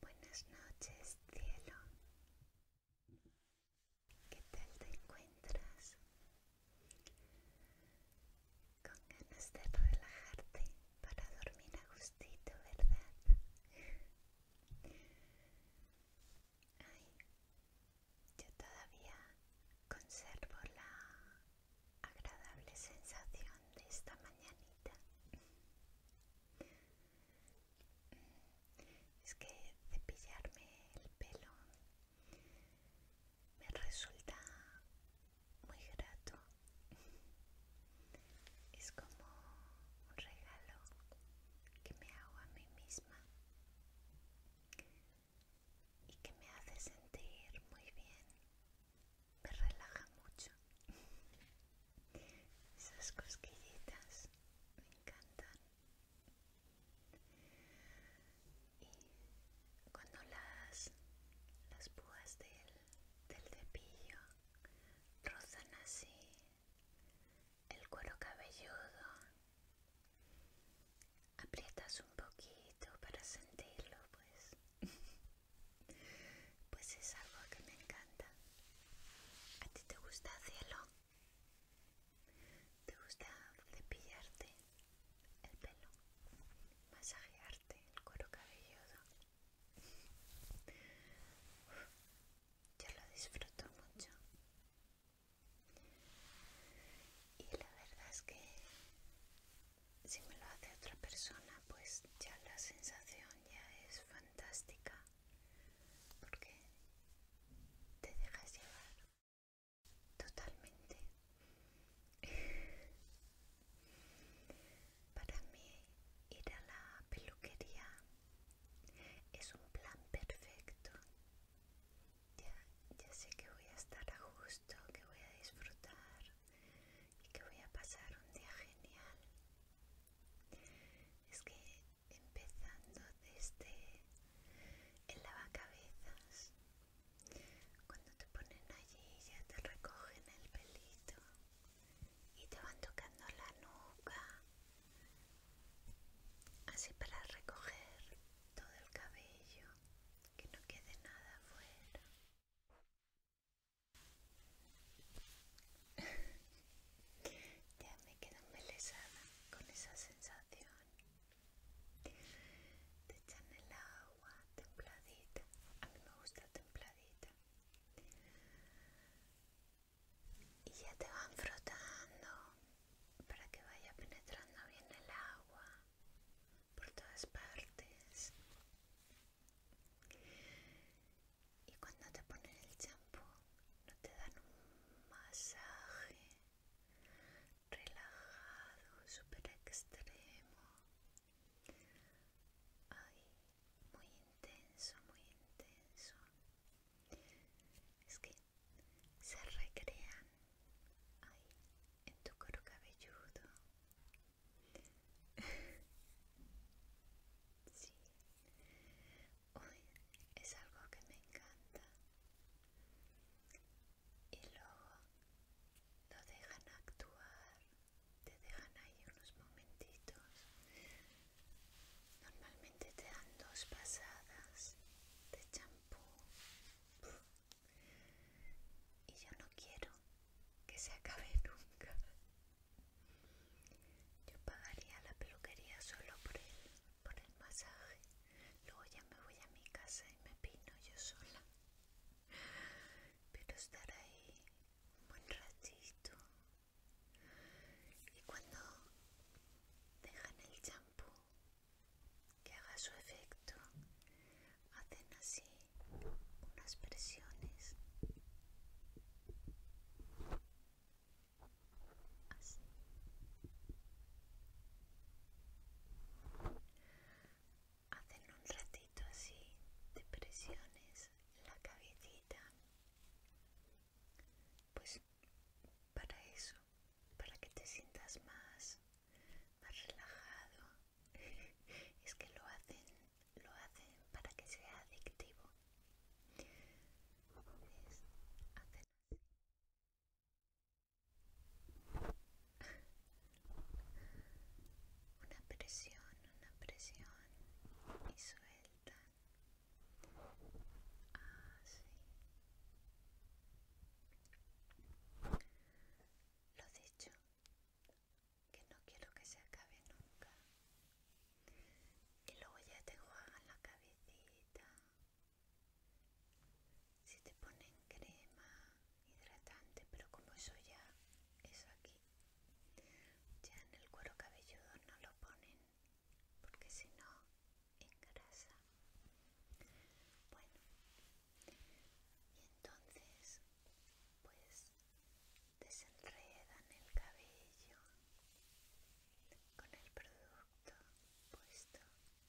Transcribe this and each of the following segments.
Buenas noches, cielo. ¿Qué tal te encuentras? Con ganas de relajarte para dormir a gustito, ¿verdad? yo todavía conservo la agradable sensación de esta mañanita. Mm, es que cepillarme el pelo me resulta muy grato. Es como un regalo que me hago a mí misma y que me hace sentir muy bien. Me relaja mucho. Esas cosquillitas me encantan. Y cuando las, las púas del, del cepillo rozan así el cuero cabelludo aprietas un poquito para sentirlo, pues. pues es algo que me encanta. ¿A ti te gusta cielo? ¿Te gusta cepillarte el pelo? ¿Masajearte el cuero cabelludo? yo lo disfruto mucho y la verdad es que si me lo hace otra persona pues ya la sensación ya es fantástica porque te dejas llevar totalmente para mí ir a la peluquería es un plan perfecto ya, ya sé que voy a estar a gusto, que voy a disfrutar y que voy a pasar un día genial. Es que empezando desde el lavacabezas, cuando te ponen allí ya te recogen el pelito y te van tocando la nuca, así para recoger todo el cabello que no quede nada afuera. ya me quedo embelesada con esa sensación te echan el agua templadita a mí me gusta templadita y ya te van frotando para que vaya penetrando bien el agua por todas partes. Y cuando te ponen el champú, no te dan un masaje relajado, súper extremo. muy intenso, muy intenso. Es que se recrean ahí, en tu coro cabelludo. sí, hoy es algo que me encanta. Y luego lo dejan actuar, te dejan ahí unos momentitos. Normalmente te dan dos pasadas de champú y yo no quiero que se acabe nunca. Yo pagaría la peluquería solo por el, por el masaje. Luego ya me voy a mi casa y me pino yo sola. Pero estar ahí un buen ratito. Y cuando dejan el champú que haga su efecto hacen así unas presiones así hacen un ratito así de presiones en la cabecita pues para eso para que te sientas más más relajado es que lo hacen lo hacen para que sea adictivo una presión una presión y suelta así ah, lo dicho que no quiero que se acabe nunca. Y luego ya te juegan la cabecita. Si te ponen crema hidratante, pero como eso ya es aquí, ya en el cuero cabelludo no lo ponen, porque si no engrasa. Bueno, y entonces pues desenredan el cabello con el producto puesto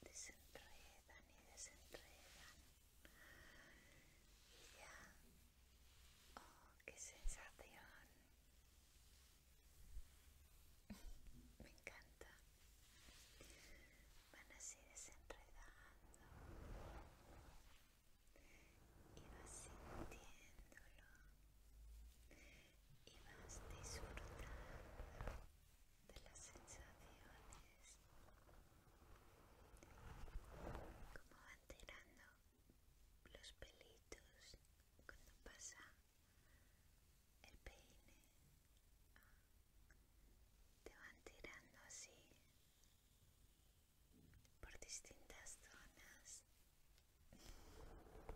desenredan y desenredan y ya oh qué sensación me encanta van así desenredando y vas sintiéndolo y vas disfrutando de las sensaciones como van tirando los pelitos cuando pasa el peine te van tirando así por distintas zonas y luego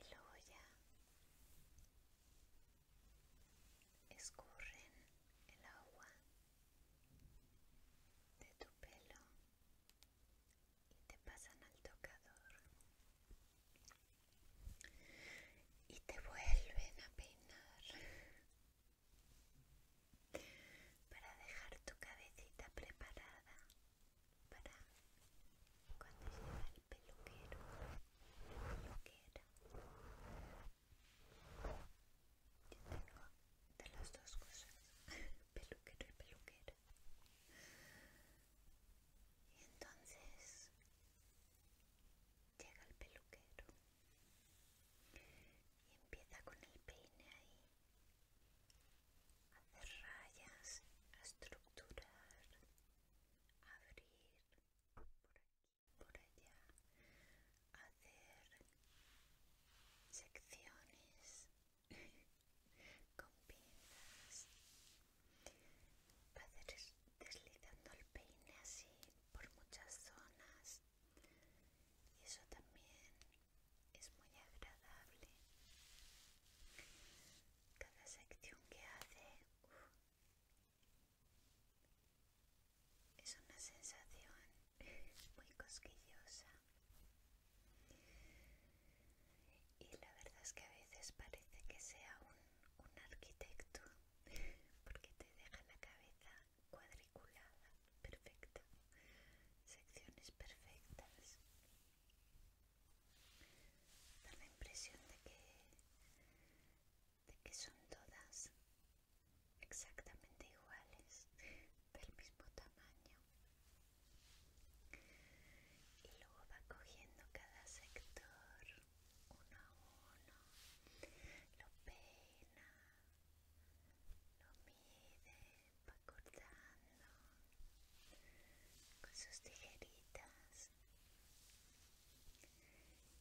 ya escurren el agua de tu pelo y te pasan al tocador y te vuelven a peinar para dejar tu cabecita preparada para cuando va el peluquero, peluquera de las dos cosas, peluquero y peluquero Y entonces llega el peluquero y empieza con el peine ahí hacer rayas, a estructurar, abrir por por allá, hacer secciones con pintas va deslizando el peine así por muchas zonas y eso también es muy agradable cada sección que hace es una sensación muy cosquillosa y la verdad es que a veces parece que sea un, arquitecto, porque te deja la cabeza cuadriculada, perfecta, secciones perfectas. Da la impresión de que, de que son todas exactamente iguales, del mismo tamaño y luego va cogiendo cada sector uno a uno lo peina lo mide va cortando con sus tijeritas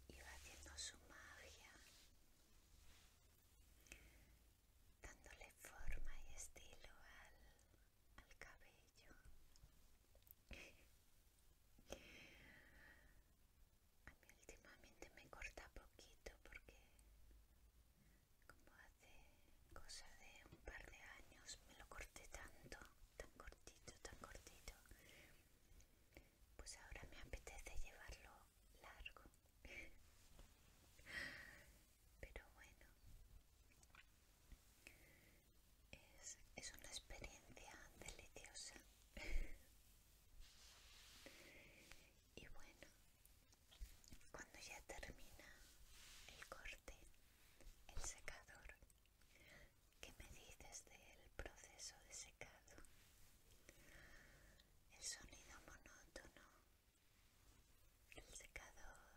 y va haciendo su magia dándole forma y estilo al, cabello. A mí últimamente me corta poquito porque como hace cosa de un par de años me lo corté tanto, tan cortito, tan cortito. Pues ahora me apetece llevarlo largo pero bueno es, una experiencia deliciosa y bueno cuando ya termina el corte el secador ¿Qué me dices del proceso de secado? El sonido monótono el secador,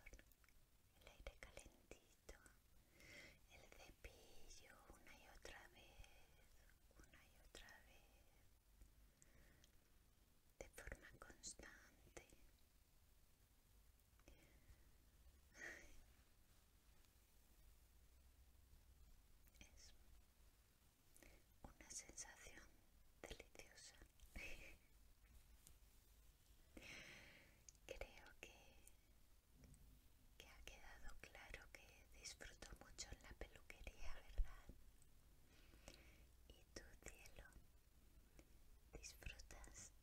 el aire calentito, el cepillo una y otra vez, una y otra vez, de forma constante. Es una sensación deliciosa. Creo que, que ha quedado claro que disfruto mucho en la peluquería, ¿verdad? Y tú, cielo, disfrutas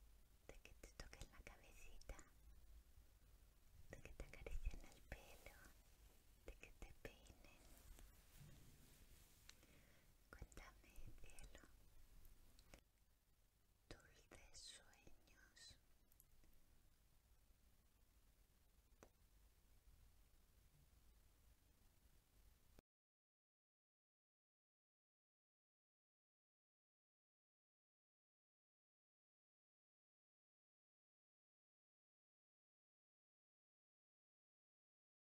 de que te toquen la cabecita, de que te acaricien el pelo, de que te peinen. Cuéntame, cielo. Dulces sueños.